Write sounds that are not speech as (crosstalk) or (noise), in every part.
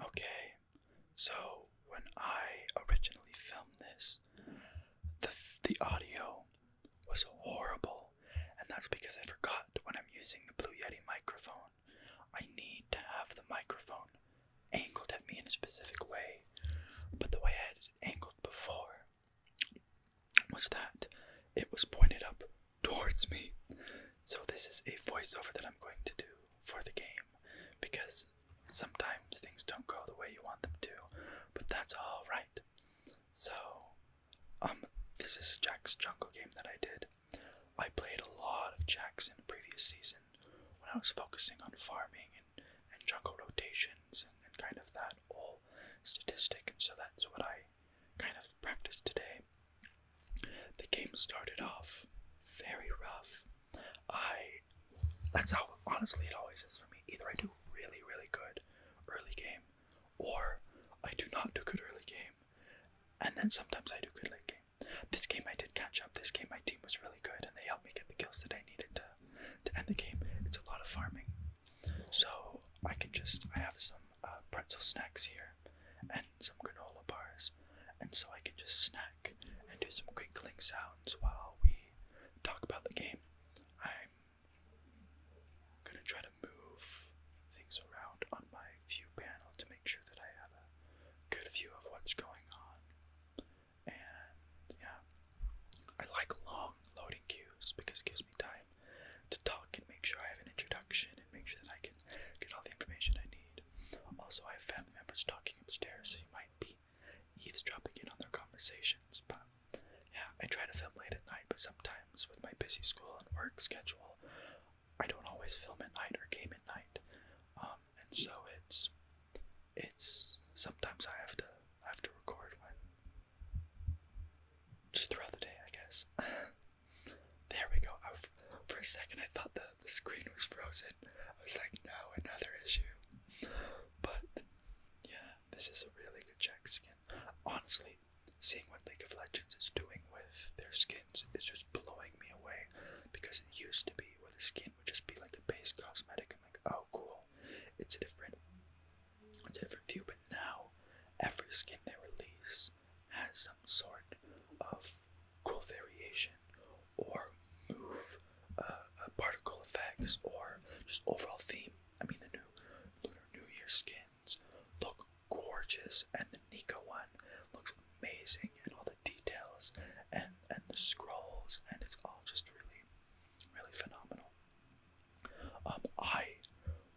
Okay, so when I originally filmed this, the, the audio was horrible, and that's because I forgot when I'm using the Blue Yeti microphone. I need to have the microphone angled at me in a specific way, but the way I had it angled before was that it was pointed up towards me. So, this is a voiceover that I'm going to do for the game because sometimes things don't go the way you want them to, but that's all right. So, um, this is Jack's Jungle game that I did. I played a lot of Jacks in the previous season when I was focusing on farming and, and jungle rotations and, and kind of that whole statistic, and so that's what I kind of practiced today the game started off very rough. I that's how honestly it always is for me. Either I do really, really good early game, or I do not do good early game. And then sometimes I do good late game. This game I did catch up. This game my team was really good and they helped me get the kills that I needed to to end the game. It's a lot of farming. So I can just I have some uh, pretzel snacks here and some granola bars, and so I can just snack and do some crinkling sounds while we talk about the game. I'm gonna try to move things around on my view panel to make sure that I have a good view of what's going on. And yeah, I like long loading queues because it gives me time to talk and make sure I have an introduction and make sure that I can can get all the information I need. Also, I have family members talking upstairs, so you might be eavesdropping in on their conversations. But yeah, I try to film late at night, but sometimes with my busy school and work schedule, I don't always film at night or game at night. Um, and so it's it's sometimes I have to have to record when just throughout the day, I guess. (laughs) There we go. for a second, I thought the, the screen was frozen. I was like, no, another issue. But yeah, this is a really good check skin. Honestly, seeing what League of Legends is doing with their skins is just blowing me away because it used to be where the skin would just be like a base cosmetic I'm like, oh, cool. It's a different, it's a different view. But now, every skin they release has some sort of cool variation or move uh, a particle effects or just overall theme. I mean, the new Lunar New Year skins look gorgeous, and the Nika one looks amazing, and all the details and and the scrolls, and it's all just really, really phenomenal. Um, I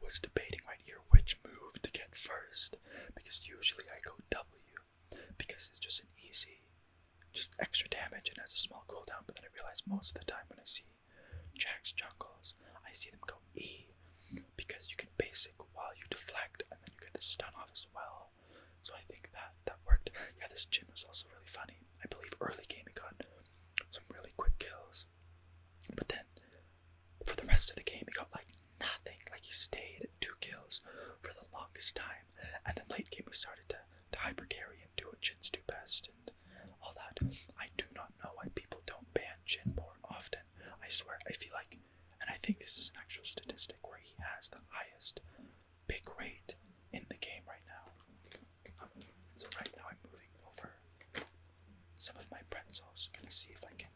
was debating right here which move to get first because usually I go W because it's just an easy, just extra damage and has a small cooldown. But then I realize most of the time when I see Jack's jungles, I see them go E because you can basic while you deflect and then you get the stun off as well. So I think that that worked. Yeah, this gym was also really funny. I believe early game he got some really quick kills, but then for the rest of the game he got like nothing. Like he stayed two kills for the longest time, and then late game we started to to hyper carry and do what Jin's do best and all that. I do not know why people don't ban Jin more often. I swear, I feel like, and I think this is an actual statistic where he has the highest big rate in the game right now. Um, so right now I'm moving over some of my pretzels. Gonna see if I can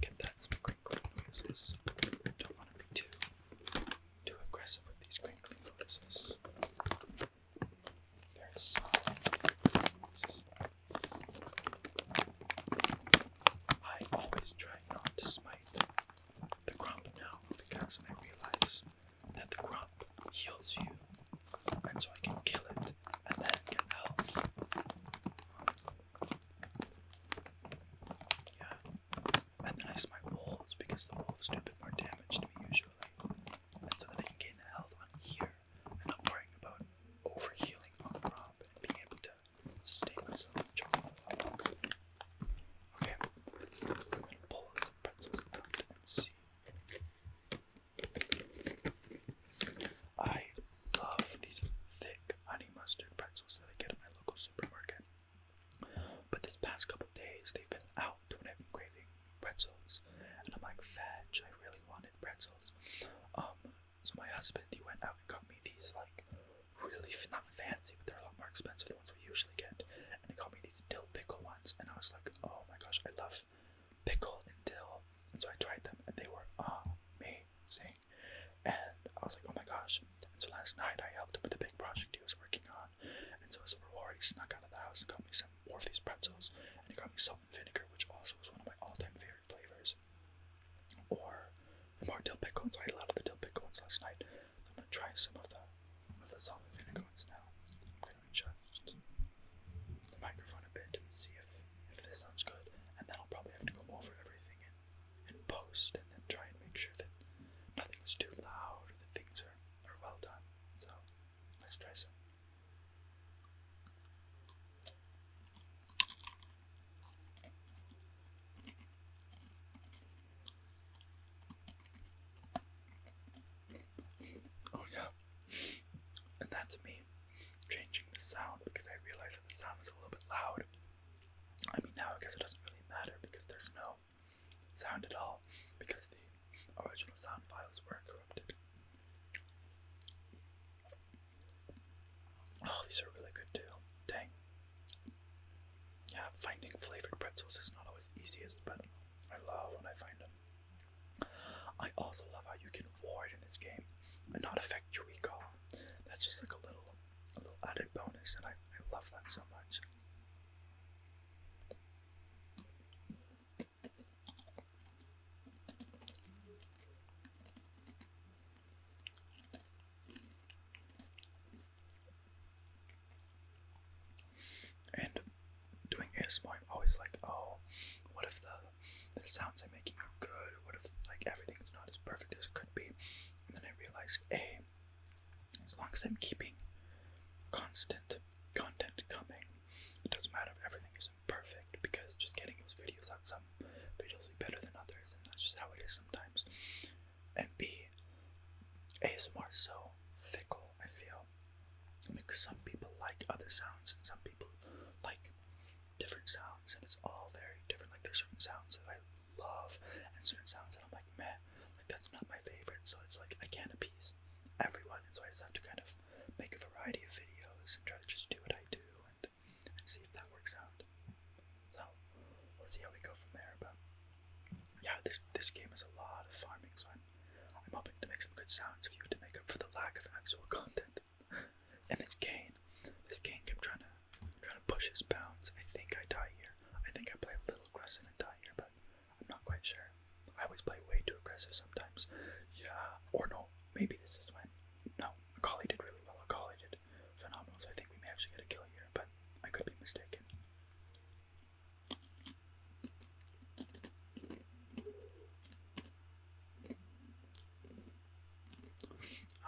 Get that some crinkling Don't want to be too too aggressive with these crinkling noises. There's some noises. I always try not to smite the grump now because I realize that the grump heals you, and so I can kill it and then get health. Yeah. And then I smite wolves because the wolves do a bit more damage to me usually. And so that I can gain the health on here and not worrying about over on the prop and being able to sustain myself Okay. I'm gonna pull some pretzels out and see. I love these thick honey mustard pretzels that I get at my local supermarket. But this past couple days, they've been out when I've been craving pretzels, and I'm like, fudge! I really wanted pretzels. Um, so my husband, he went out and got me these like really not fancy, but they're a lot more expensive than the ones we usually get, and he got me these dill pickle ones, and I was like, oh my gosh, I love pickle and dill, and so I tried them, and they were amazing. And I was like, oh my gosh. And so last night I helped him with a big project he was working on. And so as a reward, he snuck out of the house and got me some more of these pretzels. And he got me salt and vinegar, which also was one of my all time favorite flavors. Or the more dill I had a lot of the dill pickle last night. I'm going to try some of the, of the salt and vinegar now. I'm going to adjust the microphone a bit and see if, if this sounds good. And then I'll probably have to go over everything and post and then try and make sure that nothing is too loud that things are, are well done. So let's try some. Oh yeah, and that's me changing the sound because I realized that the sound was a little bit loud. I mean, now I guess it doesn't really matter because there's no sound at all because the original sound files were corrupted. Oh, these are really good too. Dang. Yeah, finding flavored pretzels is not always easiest, but I love when I find them. I also love how you can ward in this game and not affect your recall. That's just like a little a little added bonus, and I, I love that so much. And doing ASMR, I'm always like, oh, what if the the sounds I'm making are good? What if like everything's not as perfect as it could be? then I realized, hey, as long as I'm keeping constant content coming, it doesn't matter if everything isn't perfect because just getting those videos out, some videos will be better than others, and that's just how it is sometimes. And B, ASMR is so fickle, I feel. Because some people like other sounds and some people like different sounds, and it's all very different. Like, there's certain sounds that I love and certain sounds that I'm like meh, like that's not my favorite. So it's like I can't appease everyone, and so I just have to kind of make a variety of videos and try to just do what I do and, and see if that works out. So we'll see how we go from there. But yeah, this this game is a lot of farming, so I'm I'm hoping to make some good sounds for you to make up for the lack of actual (laughs) content. and this cane, this cane kept trying to i trying to push his bounds. I think I die here. I think I play a little aggressive and die here, but I'm not quite sure. I always play way too aggressive sometimes. Yeah, or no, maybe this is when. No, Akali did really well. Akali did phenomenal, so I think we may actually get a kill here, but I could be mistaken.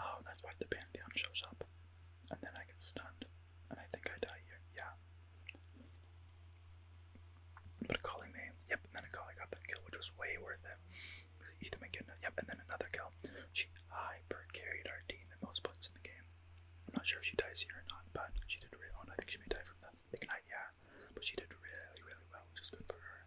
Oh, that's why the Pantheon shows up and then I get stunned, and I think I die here. Yeah. But calling me, yep, and then a collie got that kill, which was way worth it. So Ethan McKinnon, yep, and then another kill. She hyper carried our team the most points in the game. I'm not sure if she dies here or not, but she did really. Oh, I think she may die from the ignite, yeah. But she did really, really well, which is good for her.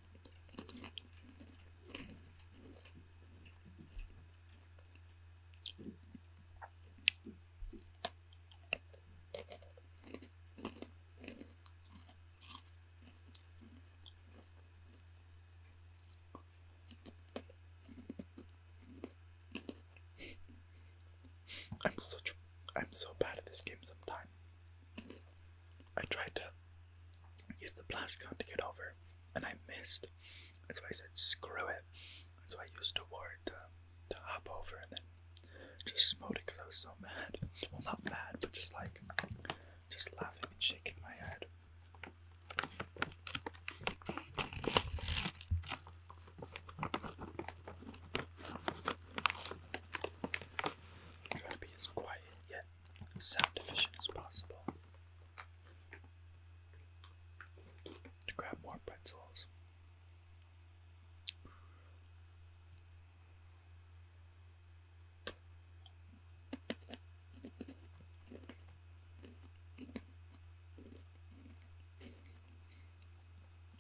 I'm such I'm so bad at this game sometimes. I tried to use the blast gun to get over, and I missed. That's why I said, screw it. That's why I used a ward to, to hop over and then just smote it because I was so mad. Well, not mad, but just like, just laughing and shaking my head. Try to be as quiet yet sound efficient as possible. To grab more pretzels.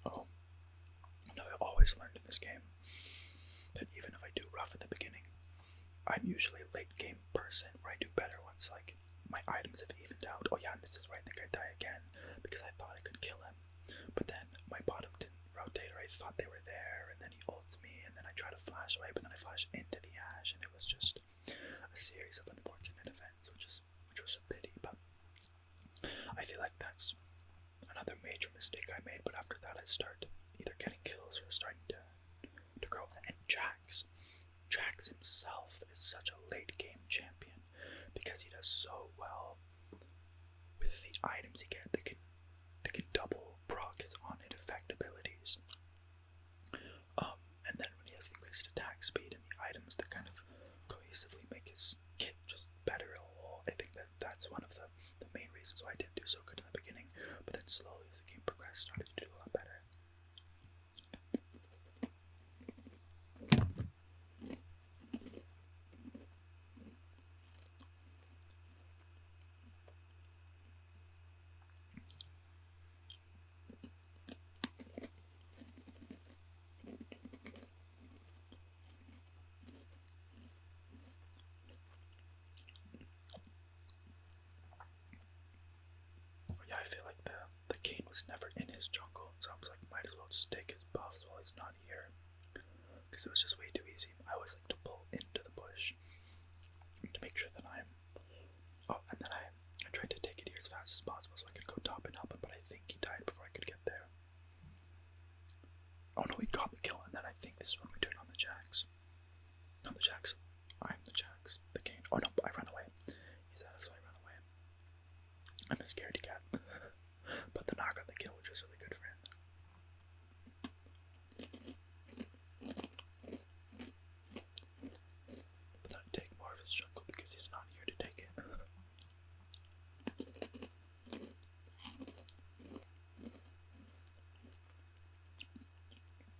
Oh, I always learned in this game that even if I do rough at the beginning, I'm usually a late game person where I do better once like my items have evened out. Oh yeah, and this is where I think I die again because I thought I could kill him, but then my bottom didn't rotate or I thought they were there, and then he ults me, and then I try to flash away, but then I flash into the ash, and it was just a series of unfortunate events, which is which was a pity. But I feel like that's another major mistake I made. But after that, I start either getting kills or starting to to grow. And Jax, Jax himself is such a late game champion because he does so well with the items he get that can that can double proc his on hit effect abilities. Um, and then when he has increased attack speed and the items that kind of cohesively make his kit just better, I think that that's one of the the main reasons why I didn't do so good in the beginning but then slowly as the game progressed, started to do a lot better. Yeah, I feel like the the king was never in his jungle, so I was like, might as well just take his buffs while he's not here, because it was just way too easy. I always like to pull into the bush to make sure that I'm. Oh, and then I I tried to take it here as fast as possible so I could go top and up, but I think he died before I could get there. Oh no, he got the kill, and then I think this is when we turned on the jacks. I'm the Jacks. I'm the Jacks. The king. Oh no, I run away. He's out of so I run away. I'm a scaredy cat. but the knock on the kill, which is really good for him. But I take more of his jungle because he's not here to take it.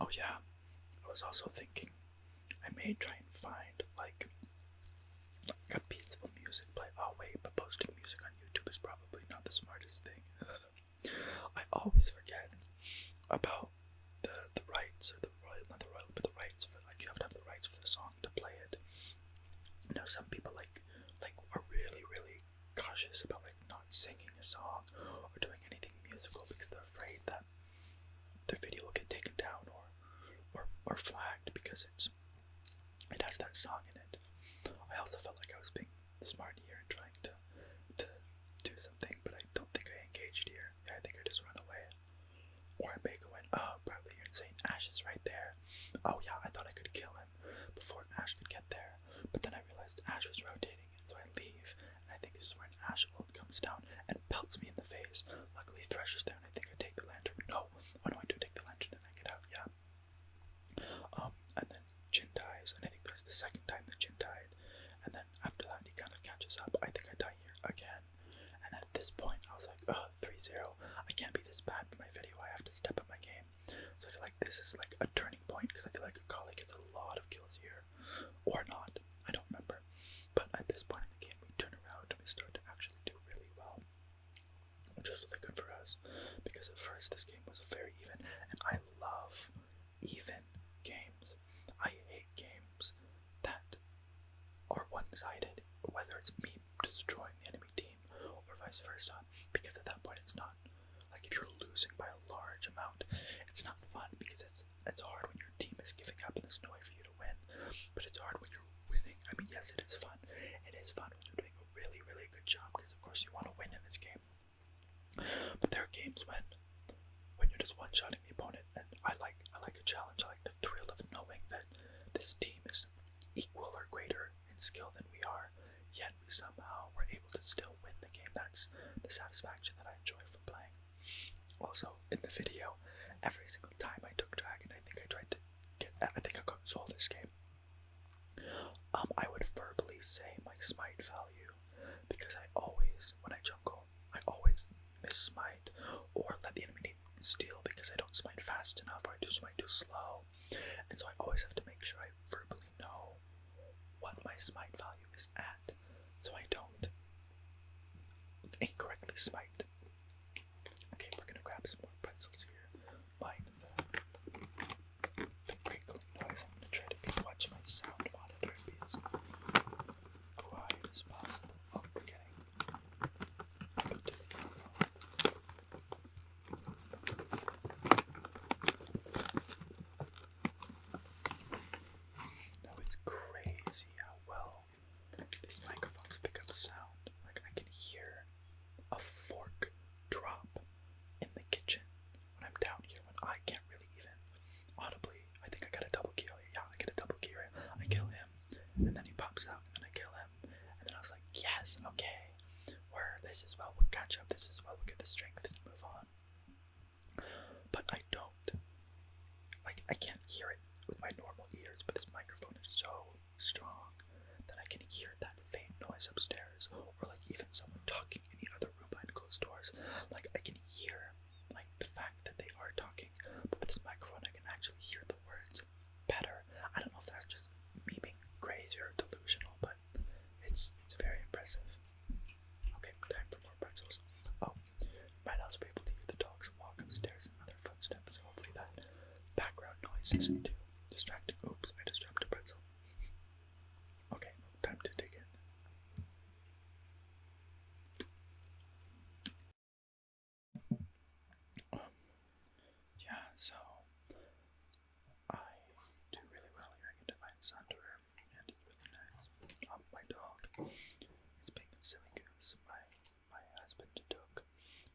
Oh, yeah, I was also thinking I may try and find like, like a peaceful music play. Oh, wait, but posting music on YouTube is probably not the smartest thing. (laughs) I always forget about the the rights or the royal, not the royal, but the rights for like you have to have the rights for the song to play it. You some people like like are really really cautious about like not singing a song or doing anything musical because they're afraid that their video will get taken down or or, or flagged because it's it has that song in it. I also felt like I was being smart here and trying to to do something, but I don't think I engaged here. Yeah, I think I just ran away. Or Omega went, oh, Bradley, you're insane. Ash is right there. Oh, yeah, I thought I could kill him before Ash could get there. But then I realized Ash was rotating, and so I leave. And I think this is where Ash Gold comes down and pelts me in the face. Luckily, Thresh is there, and I think I take the lantern. No, oh no, I do take the lantern and I it out, yeah. Um, and then Jin dies, and I think that's the second time that Jin died. And then after that, he kind of catches up. I think I die here again. And at this point, I was like, oh, 3 0. I can't be this bad for my video. I have to step up my game. So I feel like this is like a turning point because I feel like Akali gets a lot of kills here. Or not. I don't remember. But at this point in the game, we turn around and we start to actually do really well. Which was really good for us because at first this game was very even, and I love even games. I hate games that are one sided, whether it's me destroying the enemy team or vice versa, because at that point it's not like if you're losing by a large amount, it's not fun because it's it's hard when your team is giving up and there's no way for you to win. But it's hard when you're winning. I mean, yes, it is fun. It is fun when you're doing a really, really good job because of course you want to win in this game. But there are games when when you're just one-shotting the opponent, and I like I like a challenge. I like the thrill of knowing that this team is equal or greater in skill than we are, yet we somehow were able to still win the game. That's the satisfaction that I enjoy from playing. Also, in the video, every single time I took Dragon, I think I tried to get, I think I got sold this game. Um, I would verbally say my smite value because I always, when I jungle, I always miss smite or let the enemy standing because I don't smite fast enough or I do smite too slow. And so I always have to make sure I verbally know what my smite value is at so I don't incorrectly smite. Okay, we're gonna grab some more pretzels here. Mind the, the crinkling noise. I'm gonna try to be, watch my sound monitor be as quiet as possible. Oh, we're getting. No, it's crazy how well these microphones pick up sound. Like, I can hear a fork drop in the kitchen when I'm down here, when I can't really even audibly. I think I got a double kill. Yeah, I get a double kill. I kill him, and then he pops out, and I kill him. And then I was like, yes, okay, we're this is well, we'll catch up, this is well, we'll get the strength to move on. But I don't. Like, I can't hear it with my normal ears, but this microphone is so strong that I can hear that faint noise upstairs, or like even someone talking in the other room behind closed doors. Like, I can hear like the fact that they are talking, but with this microphone, I can actually hear the words better. I don't know if that's just me being crazy or delusional, but it's it's very impressive. Okay, time for more pretzels. Oh, might also be able to hear the dogs walk upstairs and other footsteps. Hopefully that background noise isn't too distracting. Oops, I just dropped a pretzel. okay, time to dig in yeah, so I do really well here. I can define and it's really nice. Um, my dog is being a silly goose. My my husband took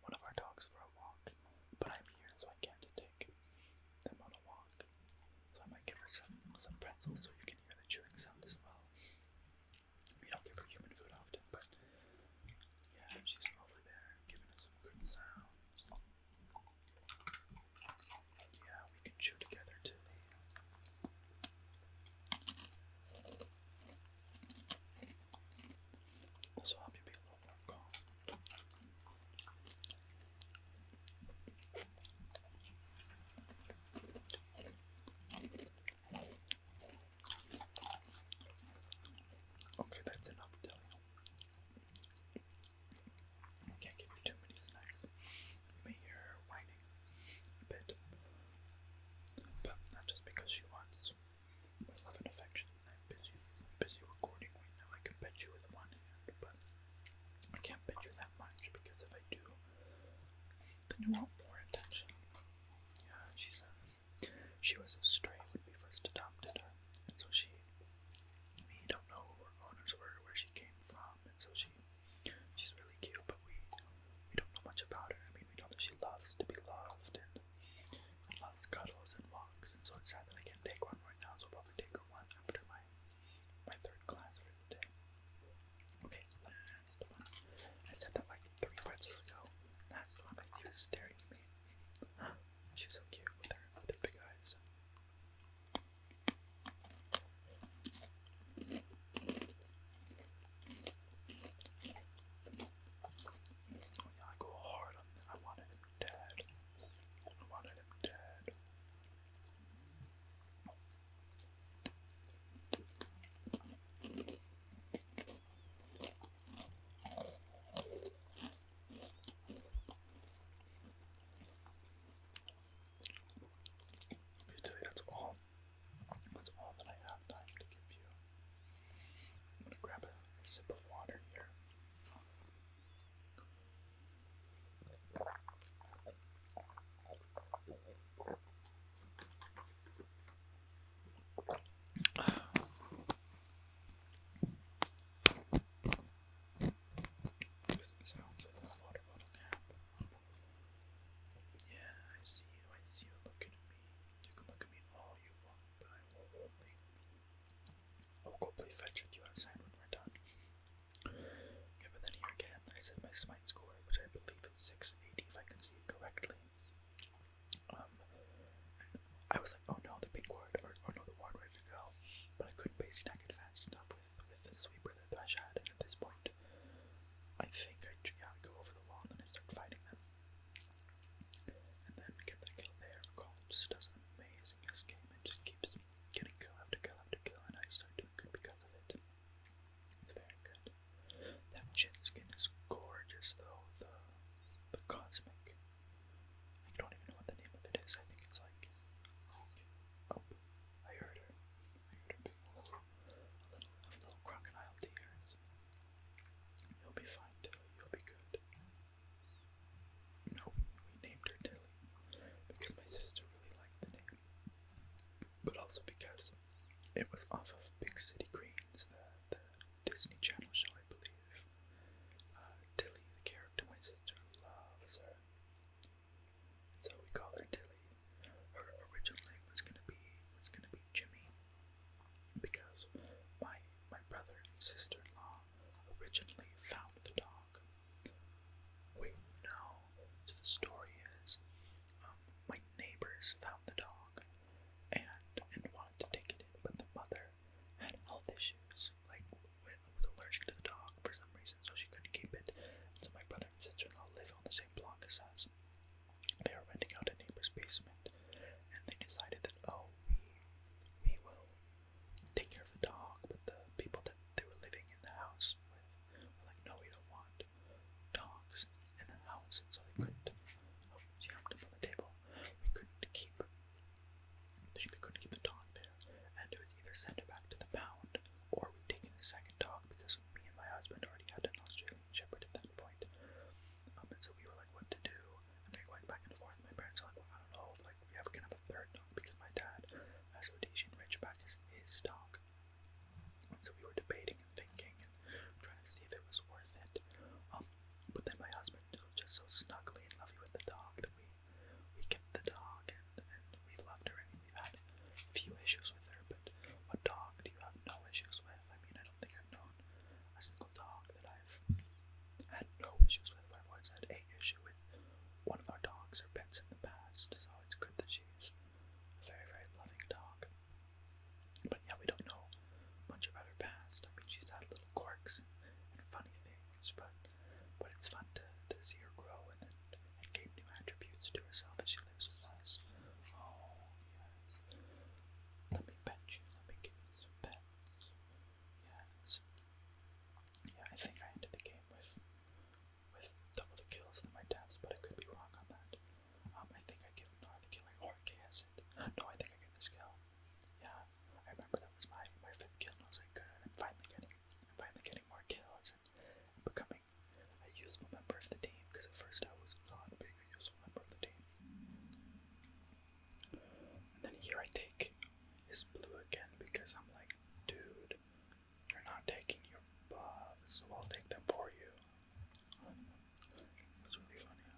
one of our dogs for a walk, but I'm here, so I can't take them on a walk. So I might give her some some pretzels, so you can hear the chewing sound as well. I mean, i give her human food often, but yeah, she's over there giving us some good sounds. Yeah, we can chew together, Tilly. This will help you be a little more calm. Okay, that's enough, Delio. I can't give you too many snacks. may hear whining a bit, but not just because she wants my love and affection. I'm busy, busy recording right now. I can bet you with one hand, but I can't bet you that much because if I do, then you want more attention. Yeah, she's a she was a stray when we first adopted her, and so she, we don't know who her owners were, where she came from, and so she, she's really cute, but we, we don't know much about her. I mean, we know that she loves to be loved and loves cuddles and walks, and so it's sad that I can't take one right now, so I'll probably take her one after my, my third class for the day. Okay, I said that like three pretzels ago. That's the one that she was staring at me. (gasps) She's so cute with her, with big eyes. Oh yeah, I go hard on I wanted him dead. I wanted him dead that's all. That's all that I have time to give you. I'm gonna grab a sip of water here. Yeah, I see you. I see you looking at me. You can look at me all you want, but I will only. I'll go play fetch with you outside when we're done. but then again, I said my smite score, which I believe is 680 if I can see it correctly. Um, I was like, oh no, the pink ward, or, or no, the ward, where did go? But I couldn't basic attack advanced enough with, with the sweeper that Thresh had, and at this point, I think I, yeah, I go over the wall and I start fighting them. And then get that kill there. Colin just does amazing this game and just keeps getting kill after kill after kill, and I start doing good because of it. It's very good. That chin skin is gorgeous though, the the cosmic I don't even know what the name of it is. I think it's like, oh, I heard her. a little, a little, crocodile tears. You'll be fine, Tilly. You'll be good. No, we named her Tilly because my sister really liked the name, but also because it was off of Big City Greens, Disney Channel show, I believe. Uh, Tilly, the character my sister loves her. so we call her Tilly. Her original was gonna be was gonna be Jimmy, because my my brother and sister-in-law originally found the dog. Wait, no. So the story is, um, my neighbors found the dog, and and wanted to take it in, but the mother had health issues, like was allergic to the dog for some reason, so she couldn't keep it. And so my brother and sister-in-law live on the same block as us. They are renting out a neighbor's basement, and they decided that oh, we we will take care of the dog, but the people that they were living in the house with were like, no, we don't want dogs in the house, and so they couldn't. Oh, she jumped up on the table. We couldn't keep they couldn't keep the dog there, and it was either sent back to the pound, or we would take in the second dog because me and my husband already had an Australian Shepherd at that point. Um, and so we were like, what to do? And we were going back and forth. My parents were like, well, I don't know, like we have kind of a third dog because my dad has Rhodesian Ridgeback as his dog. And so we were debating and thinking and trying to see if it was worth it. Um, but then my husband it was just so snuggly and lovely with the dog that we we kept the dog and, and we've loved her. I mean, we've had few issues with her, but what dog do you have no issues with? I mean, I don't think I've known a single dog that I've had no issues with. I've always had a issue with one of our dogs or pets in the past, so it's good that she's a very, very loving dog. But yeah, we don't know much about her past. I mean, she's had little quirks and, and funny things, but but it's fun to, to see her grow and then and gain new attributes to herself as she lives her life. Oh yes, let me pet you. Let me give you some pets. Yes. Yeah, I think I ended the game with with double the kills than my deaths, but I could be wrong on that. Um, I think I give Nara the killing or KS it. No, I think I get the skill. Yeah, I remember that was my my fifth kill, and I was like, good. I'm finally getting, I'm finally getting more kills and becoming a useful member of the team. Because at first I was not being a useful member of the team. And then here I take his blue again because I'm like, dude, you're not taking your buff, so I'll take them for you. It was really funny.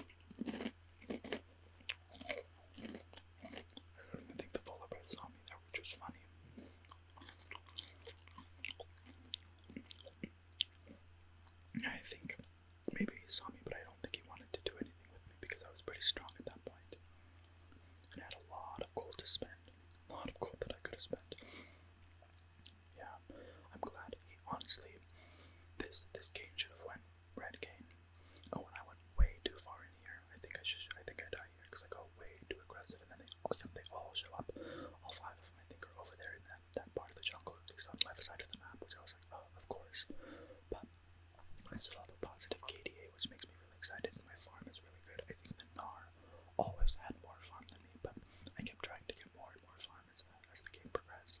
I think the lullaby saw me there, which funny. I think Maybe he saw me, but I don't think he wanted to do anything with me because I was pretty strong at that And I had a lot of gold to spend. A lot of gold that I could have spent. Yeah, I'm glad. He honestly, this this cane should have went red cane. Oh, and I went way too far in here. I think I should. I think I die here because I go way too aggressive, and then they all they all show up. All five of them, I think, are over there in that that part of the jungle, at least on the left side of the map, which also. Oh, of course. But I still have a positive KDA, which makes me really excited, and my farm is really good. I think the NAR always had more farm than me, but I kept trying to get more and more farm as the game progressed.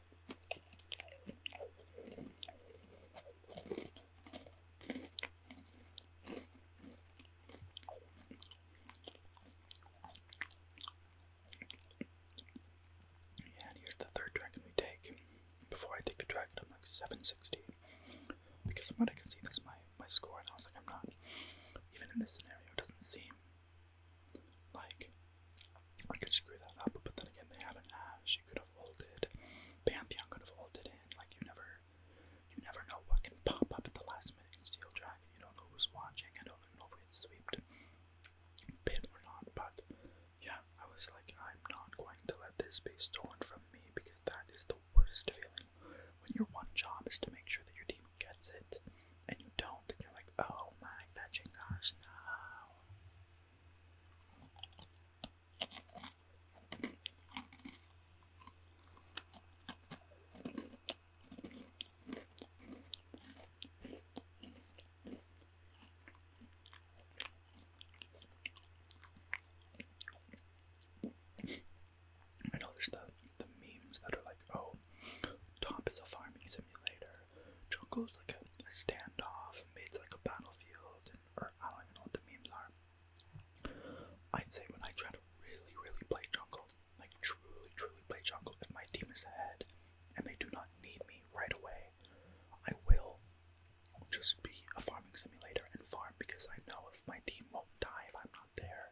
And here's the third dragon we take. Before I take the dragon, I'm like 760. Because from what I can see, that's my, my score, and I was like, I'm not. Even in this scenario, it doesn't seem like I could screw that up, but then again, they have an Ash. You could have ulted. Pantheon could have folded in. Like, you never you never know what can pop up at the last minute in Steel Dragon. You don't know who's watching. I don't even know if we had swept, Pit or not, but yeah, I was like, I'm not going to let this be stolen from me because that is the worst feeling when your one job is to make sure that your team gets it and you don't, and you're like, oh my fetching gosh, no. I know there's the the memes that are like, oh, top is a farming simulator, jungle's like a, standoff, mid's like a battlefield, or I don't know what the memes are. I'd say when I try to really, really play jungle, like truly, truly play jungle, if my team is ahead and they do not need me right away, I will just be a farming simulator and farm because I know if my team won't die if I'm not there,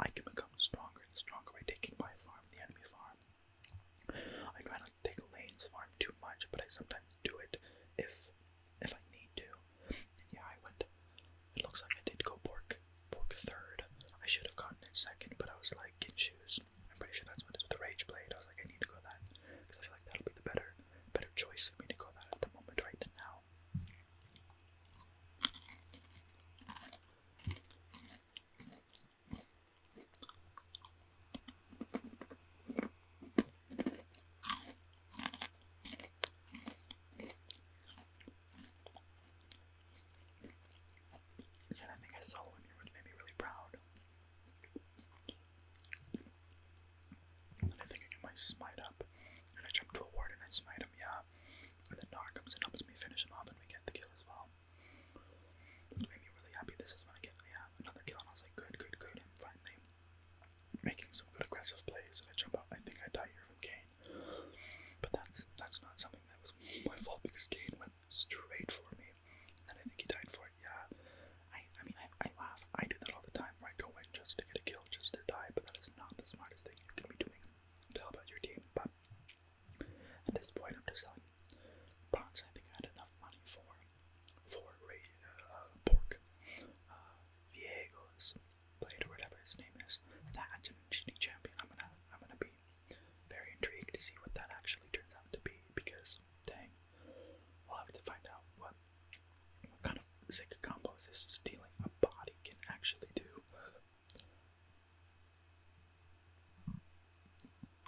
I can become stronger and stronger by taking my farm, the enemy farm. I try take lanes farm too much, but I sometimes do it if if I need to. And yeah, I went. It looks like I did go pork pork third. I should have gotten it second, but I was like in shoes. I'm pretty sure that's what it's with the rage blade. I was like, I need to go that because I feel like that'll be the better better choice for me to go that at the moment right now. And I think I saw him, here which made me really proud. And I think I get my smite up. And I jump to a ward and I smite him, yeah. And then Gnar comes and helps me finish him off and we get the kill as well. It made me really happy. This is when I get yeah, another kill and I was like, good, good, good, and finally making some good aggressive plays, and I jump out. I think I die here from Kane, but that's that's not something that was my fault because Kane went straight for me, and I think he died for it. Yeah, I I mean I, I laugh. I do that all the time. Where I go in just to get a kill, just to die, but that is not the smartest thing you can be doing Tell about your team. But at this point, I'm just selling Bronze. I think I had enough money for for Ray, uh, Pork, uh, Viego's blade or whatever his name is. That's an I'm gonna, I'm gonna be very intrigued to see what that actually turns out to be because, dang, we'll have to find out what, what kind of sick combos this stealing a body can actually do.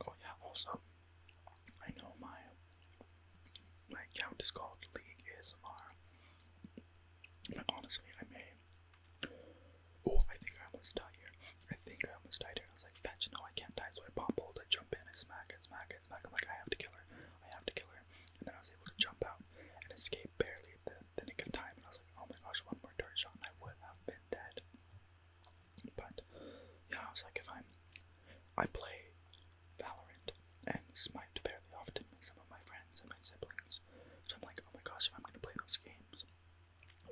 Oh yeah, also I know my my account is called League ASMR. But honestly I may Oh, I think I almost died here. I think I was like, no, I can't die. So I pop hold, I jump in, I smack, I smack, I smack. I'm like, I have to kill her. I have to kill her. And then I was able to jump out and escape barely at the, nick of time. And I was like, oh my gosh, one more turret shot and I would have been dead. But yeah, I was like, if I'm, I play Valorant and Smite fairly often with some of my friends and my siblings. So I'm like, oh my gosh, if I'm gonna play those games,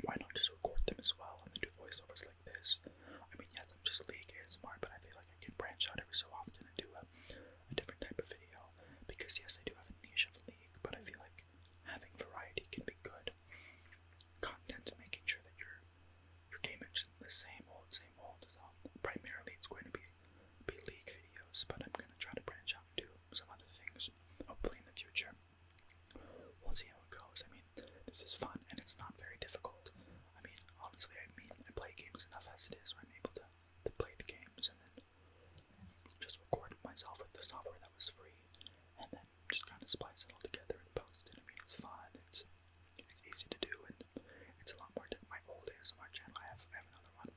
why not just record them as well and then do voiceovers Like this. I mean, yes, I'm just league Smart, but I feel like I can branch out every so often and do a, different type of video. Because, yes, I do have a niche of league, but I feel like having variety can be good. Content, making sure that your your game is the same old, same old. So primarily, it's going to be be league videos, but I'm gonna try to branch out and do some other things. Hopefully in the future, we'll see how it goes. I mean, this is fun and it's not very difficult. I mean, honestly, I mean, I play games enough as it is where I'm able to, to play the games and then just record myself with the software that was free and then just kind of splice it all together and post it. I mean, it's fun, it's it's easy to do, and it's a lot more. My old ASMR channel, I have, I have another one.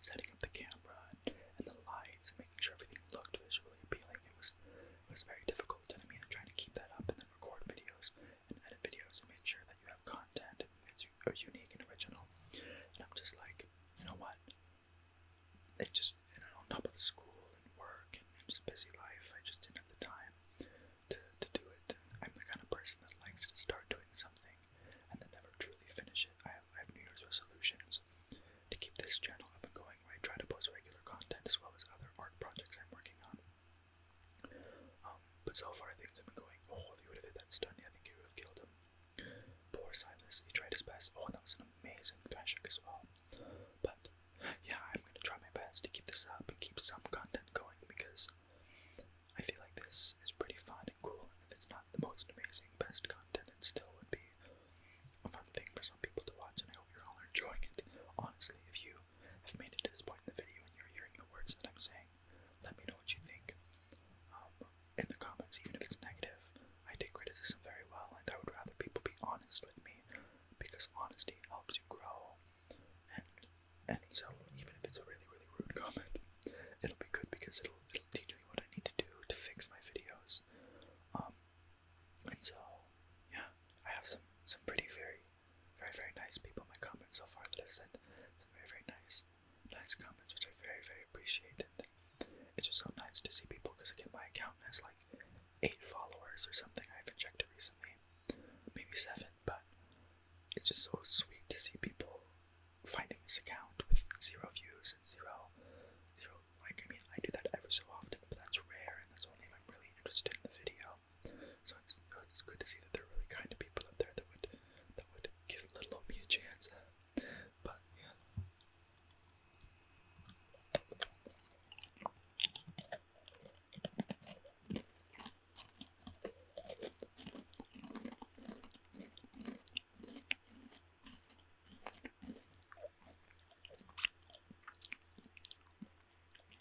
Setting up the camera and, the lights and making sure everything looked visually appealing. It was it was very difficult, and I mean, I'm trying to keep that up and then record videos and edit videos and make sure that you have content that's uh, unique and original. And I'm just like, you know what? It just, and on top of school and work and just busy life, I just didn't have the time to, to do it. And I'm the kind of person that likes to start doing something and then never truly finish it. I have New Year's resolutions to keep this channel up and going where I try to post regular content as well as other art projects I'm working on. Um, but so far things have been going. Oh, if he would have hit that stun, I think it would have killed him. Poor Silas, he tried his best. Oh, and that was an amazing thrashing as well. But yeah, I'm gonna try my best to keep this up and keep some content going because I feel like this is pretty fun and cool. And if it's not the most amazing, best content, it still would be a fun thing for some people to watch. And I hope you're all enjoying it. Honestly, if you have made it to this point in the video and you're hearing the words that I'm saying, let me know what you think. Um, in the comments, even if it's negative, I take criticism very well, and I would rather people be honest with me because honesty helps you grow. And and so, even if it's a really really rude comment, it'll be good because it'll it'll teach me what I need to do to fix my videos. Um, and so, yeah, I have some some pretty very very, very nice people my comments so far that i have sent some very, very nice, nice comments, which I very, very appreciate. And it's just so nice to see people because again, my account has like eight followers or something. I haven't checked recently, maybe seven, but it's just so sweet to see people finding this account with zero views and zero, zero. Like, I mean, I do that every so often, but that's rare, and that's only if I'm really interested in the video. So it's, it's good to see that there are really kind of people out there that would that would give little old a chance. But yeah.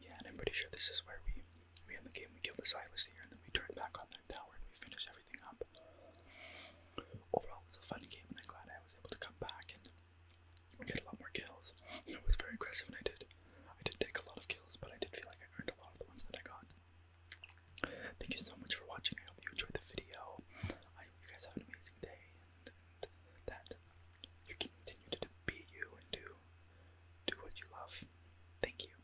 Yeah, and I'm pretty sure this is where we we end the game, we kill the Silas here, and then we turn back on that tower and we finish everything up. Overall, it was a fun game, and I'm glad I was able to come back and get a lot more kills. I was very aggressive, and I did, I did take a lot of kills, but I did feel like I earned a lot of the ones that I got. Thank you so much for watching. I hope you enjoyed the video. I hope you guys have an amazing day and, that you can continue to be you and do do what you love. Thank you.